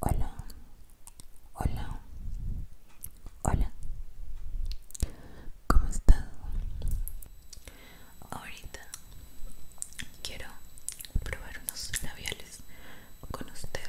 Hola, hola, hola, ¿cómo estás? Ahorita quiero probar unos labiales con ustedes.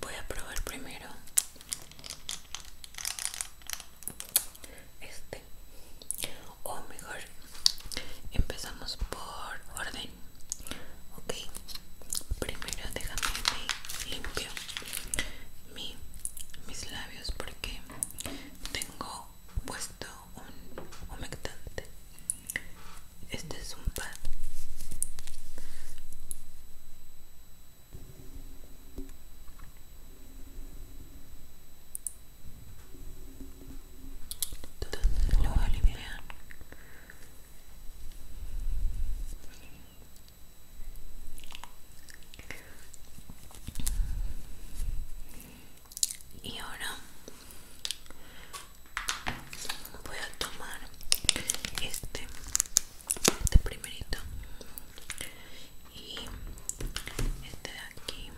voy a probar primero este o mejor empezamos por orden ok primero déjame que limpio mis labios porque tengo puesto un humectante este es un pan. entonces lo limpiar Y ahora voy a tomar este este primerito y este de aquí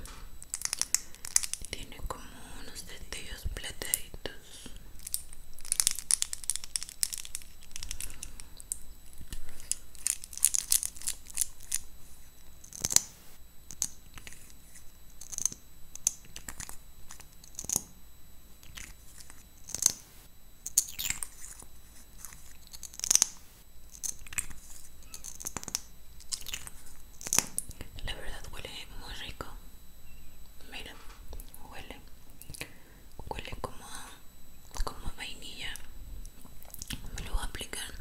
tiene como unos destellos plateaditos la verdad huele muy rico. Mira, huele. Huele como como vainilla. Me lo voy a aplicar.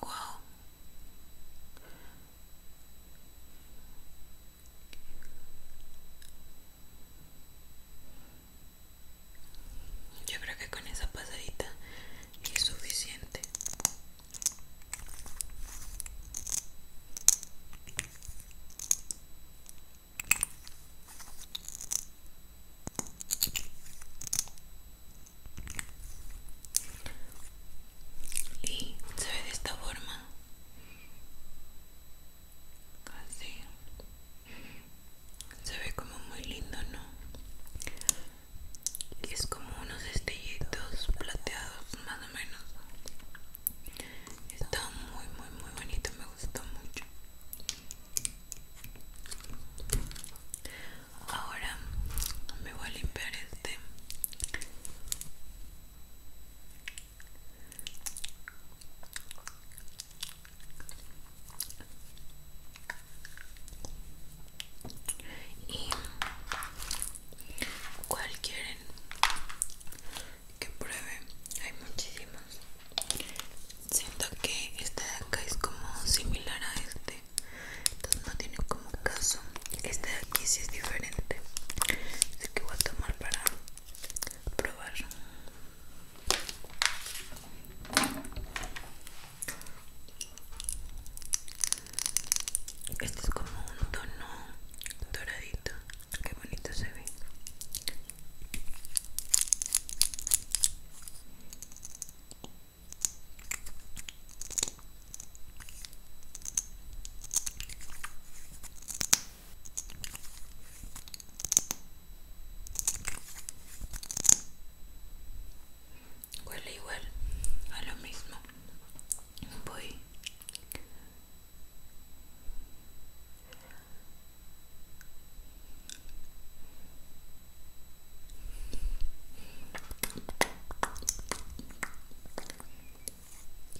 Wow, yo creo que con esa pasadita es suficiente y se ve de esta forma así se ve como muy lindo no y es como unos estellitos plateados más o menos está muy muy muy bonito me gustó mucho ahora me voy a limpiar este y cuál que pruebe hay muchísimos siento que este de acá es como similar a este entonces no tiene como caso este de aquí sí es diferente así que voy a tomar para probar este es como un tono doradito qué bonito se ve Huele igual a lo mismo. Voy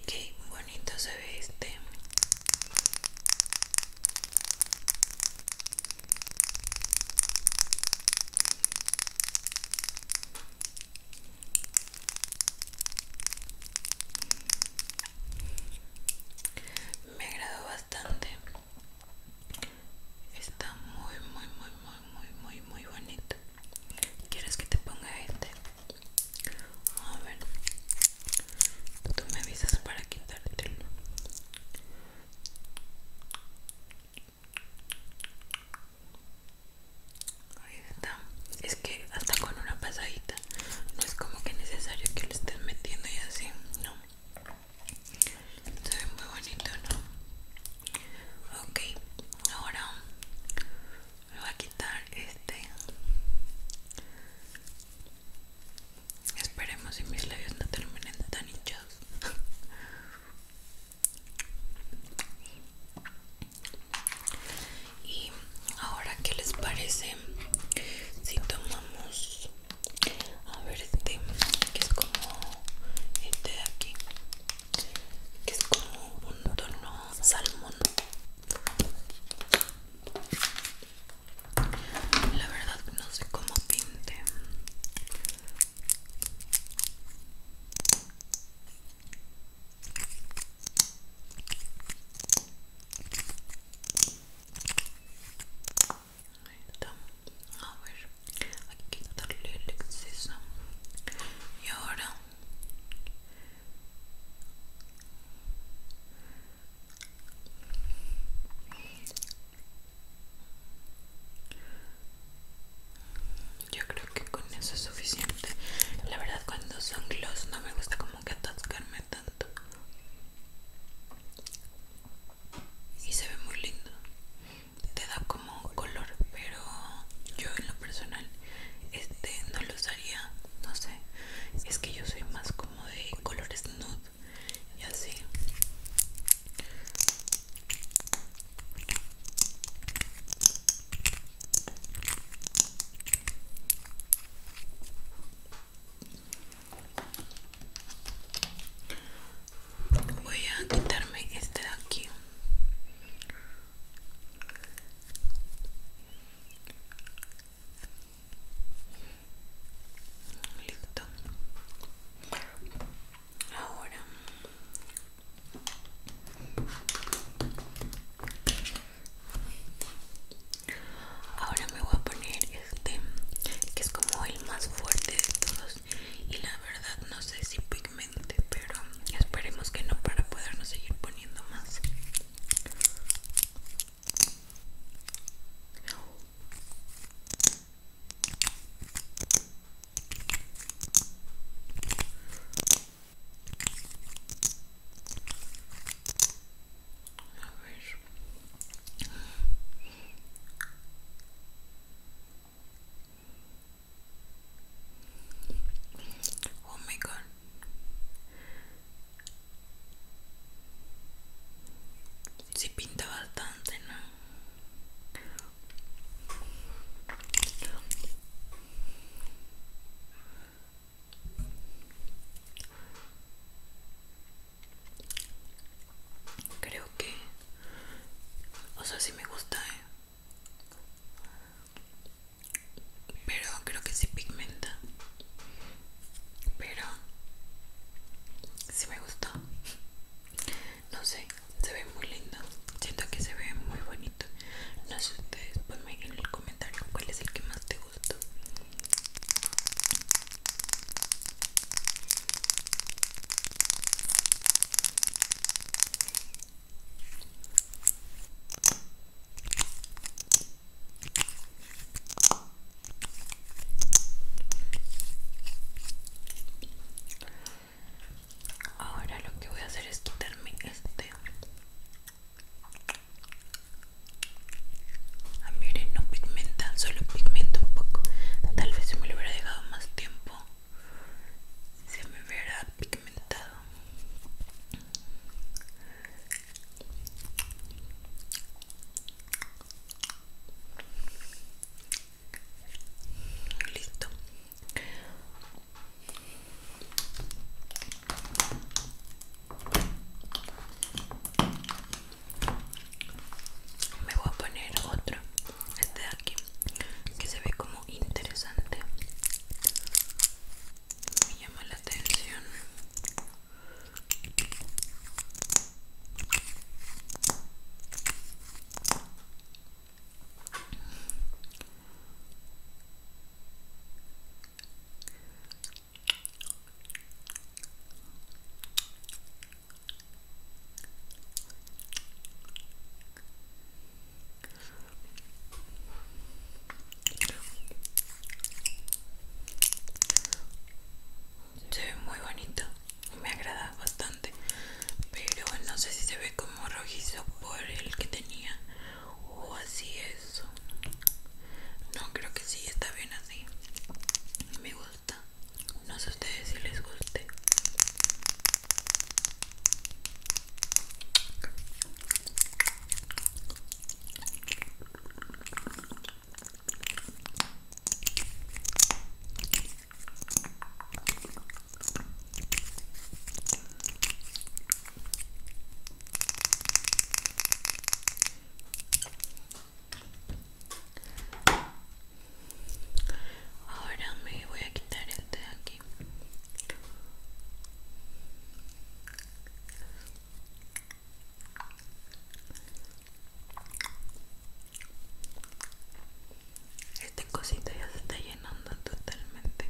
Qué bonito se ve este. Me agradó bastante. Está muy, muy, muy, muy muy muy muy bonito quieres que te ponga este a ver tú me avisas para quitártelo ahí está es que hasta con una pasadita no es como que necesario que lo estés metiendo y así no se ve muy bonito no ok ahora me voy a quitar este esperemos si mis labios no terminen tan hinchados y ahora qué les parece si tomamos a ver este que es como este de aquí que es como un tono salmón la verdad no sé cómo pinte Ahí está. A ver, Aquí que darle el exceso. Y ahora yo creo que con eso es suficiente. La verdad, cuando son gloss no me gusta como que atascarme tanto. Y se ve muy lindo te da como color pero yo en lo personal este no lo usaría no sé es que yo soy más como de colores nude y así Voy a quitarme este de aquí Listo. Ahora Ahora me voy a poner este que es como el más fuerte de todos y la verdad no sé si pigmente pero esperemos que no para podernos seguir poniendo más Oh my god. pinta bastante, ¿no? Creo que... O sea, sí me gusta, ¿eh? pero creo que se pigmenta pero si me gustó no sé se ve muy lindo siento que se ve muy bonito no sé ustedes ponme en el comentario cuál es el que más te gustó Ahora lo que voy a hacer es quitarme este. Ah, miren, no pigmentan, solo pigmenta un poco. Tal vez si me lo hubiera dejado más tiempo, se me verá pigmentado listo me voy a poner otro este aquí que se ve como interesante me llama la atención se ve muy bonito me agrada bastante, pero no sé si se ve como rojizo por el que tenía o así eso No creo que sí, está bien así. Me gusta. No sé ustedes si les guste. Ahora me voy a quitar el este de aquí este cosito ya se está llenando totalmente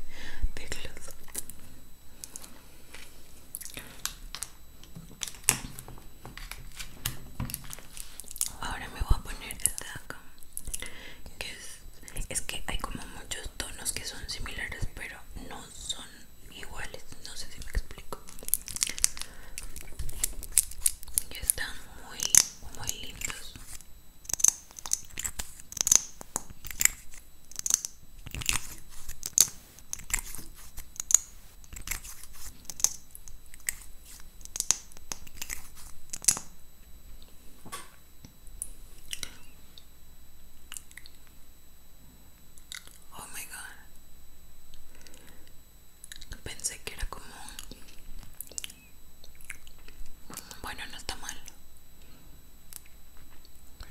de glos Ahora me voy a poner esta acá, que es es que hay como muchos tonos que son similares pero no son iguales no sé si me explico están muy muy lindos Oh my god. Pensé que era como. Bueno, no está mal.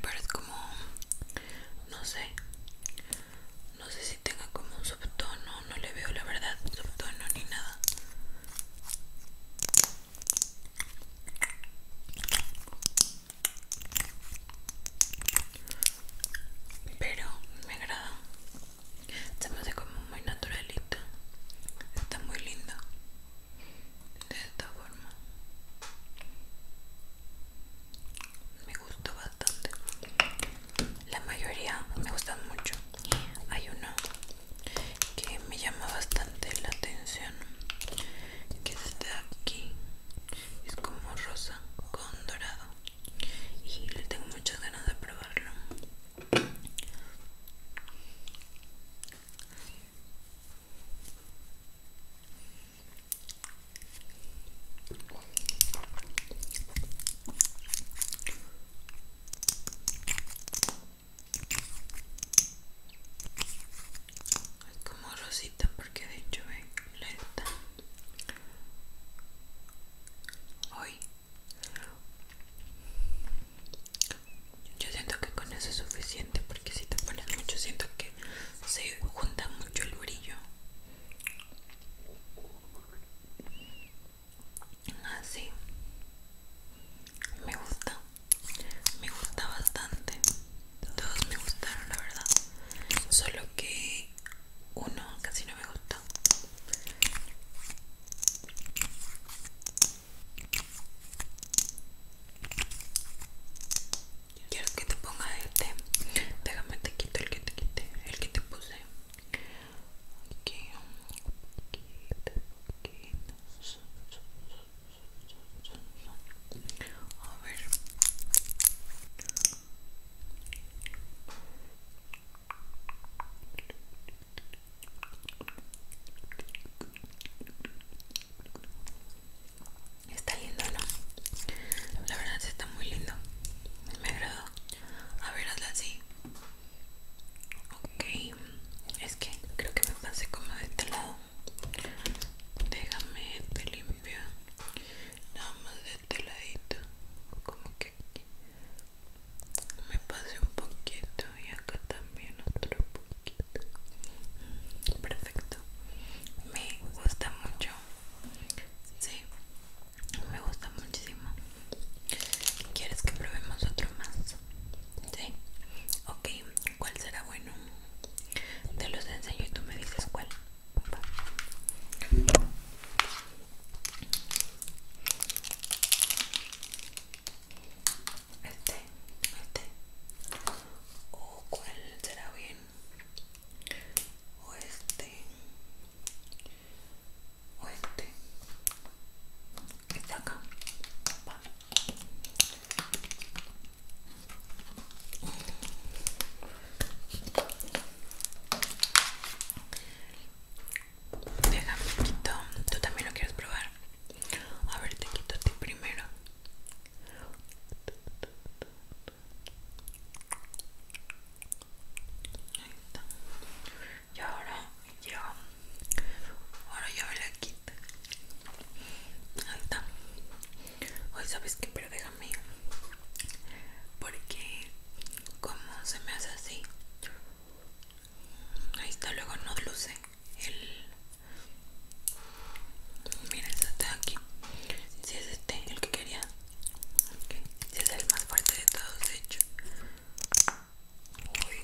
Pero es como. No sé. No sé si tenga como un subtono. No le veo la verdad subtono ni nada pero me agrada se me hace como muy naturalita está muy linda de esta forma me gustó bastante la mayoría me gustan mucho hay uno que me llama bastante la atención que está aquí es como rosa con dorado y le tengo muchas ganas de probarlo como rosita porque de hecho es lenta. Hoy yo siento que con eso es suficiente porque si te pones mucho siento que se junta mucho el brillo así me gusta me gusta bastante todos me gustaron la verdad solo que uno casi no me gusta Quiero que te ponga este? Déjame te quito el que te quité, el que te puse a ver Está lindo, ¿no? La verdad está muy lindo. Me agradó. A ver, así. Ok es que creo que me pasé como de este lado déjame este limpio nada más de este ladito como que aquí me pasé un poquito y acá también otro poquito perfecto me gusta mucho sí me gusta muchísimo ¿Quieres que probemos otro más? Sí. Ok, ¿cuál será bueno? Te los enseño y tú me dices cuál. Este, este. ¿O cuál será bien? O este. O este está acá. Déjame quito. ¿Tú también lo quieres probar? A ver, te quito a ti primero. Ahí está y ahora yo ahora yo me la quito ahí está hoy sabes qué? pero déjame porque como se me hace así ahí está luego no luce el mira este aquí si es este el que quería si es el más fuerte de todos de hecho Uy.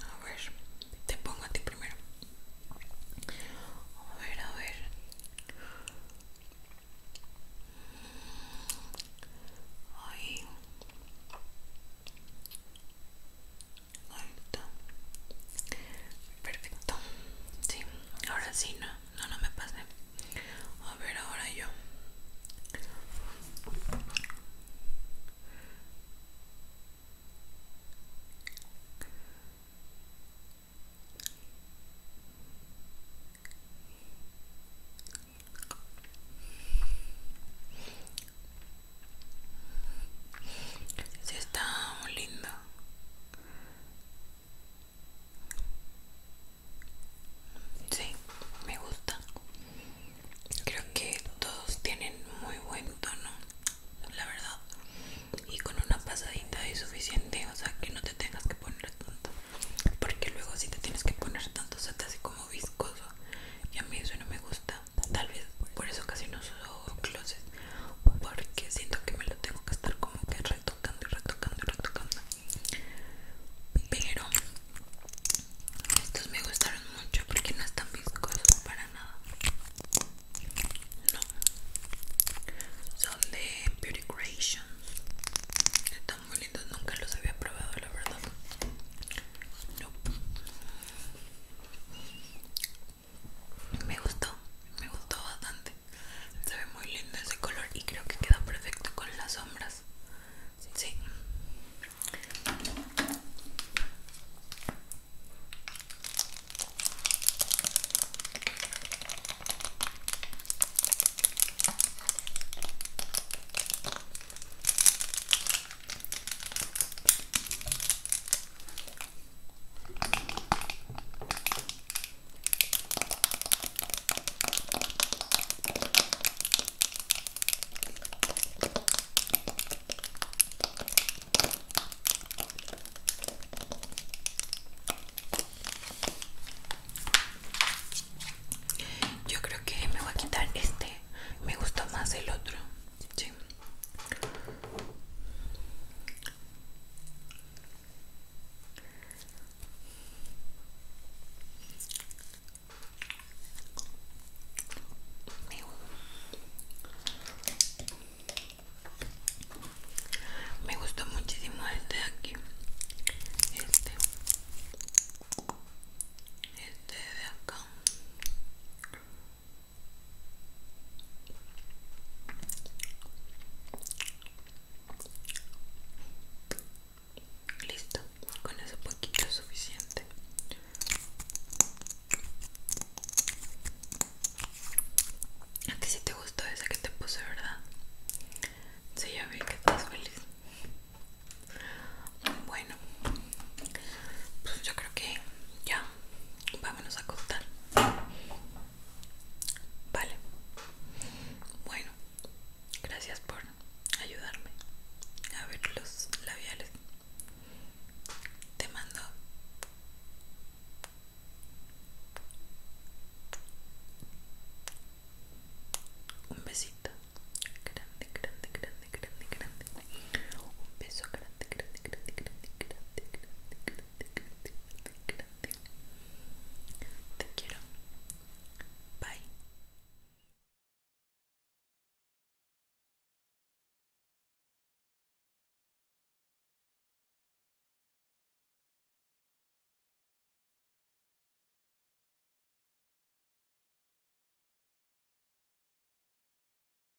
A ver, te pongo a ti primero. A ver, a ver. Ahí. está. Perfecto. Sí, ahora sí, no, no, no me pase A ver, ahora yo. se está muy lindo. Sí, me gusta. Creo que todos tienen muy buen tono, la verdad. Y con una pasadita es suficiente, o sea que no te tengas que poner tanto. Porque luego si te tienes que poner tanto se te hace como viscoso. Y a mí eso no me gusta. Tal vez por eso casi no uso closet porque siento que me lo tengo que estar como que retocando y retocando y retocando pero estos me gustaron mucho porque no están viscosos para nada no son de Beauty Creations están bonitos nunca los había probado la verdad me gustó me gustó bastante se ve muy lindo ese color y creo que queda perfecto con las sombras sí yo creo que me voy a quitar este. Me gustó más el otro. Sí. Me, gusta gustó muchísimo este de aquí. Este. Este de acá. Listo, con eso poquito es suficiente. A ti si te gustó esa que te puse, ¿verdad? Sí, ya vi que estás feliz. Bueno, pues yo creo que ya vámonos a acostar. Vale. Bueno, gracias por ayudarme a ver los labiales. Te mando un besito grande, grande, grande, grande, grande. Un beso grande, grande, grande, grande, grande, grande. grande. Te quiero. Bye.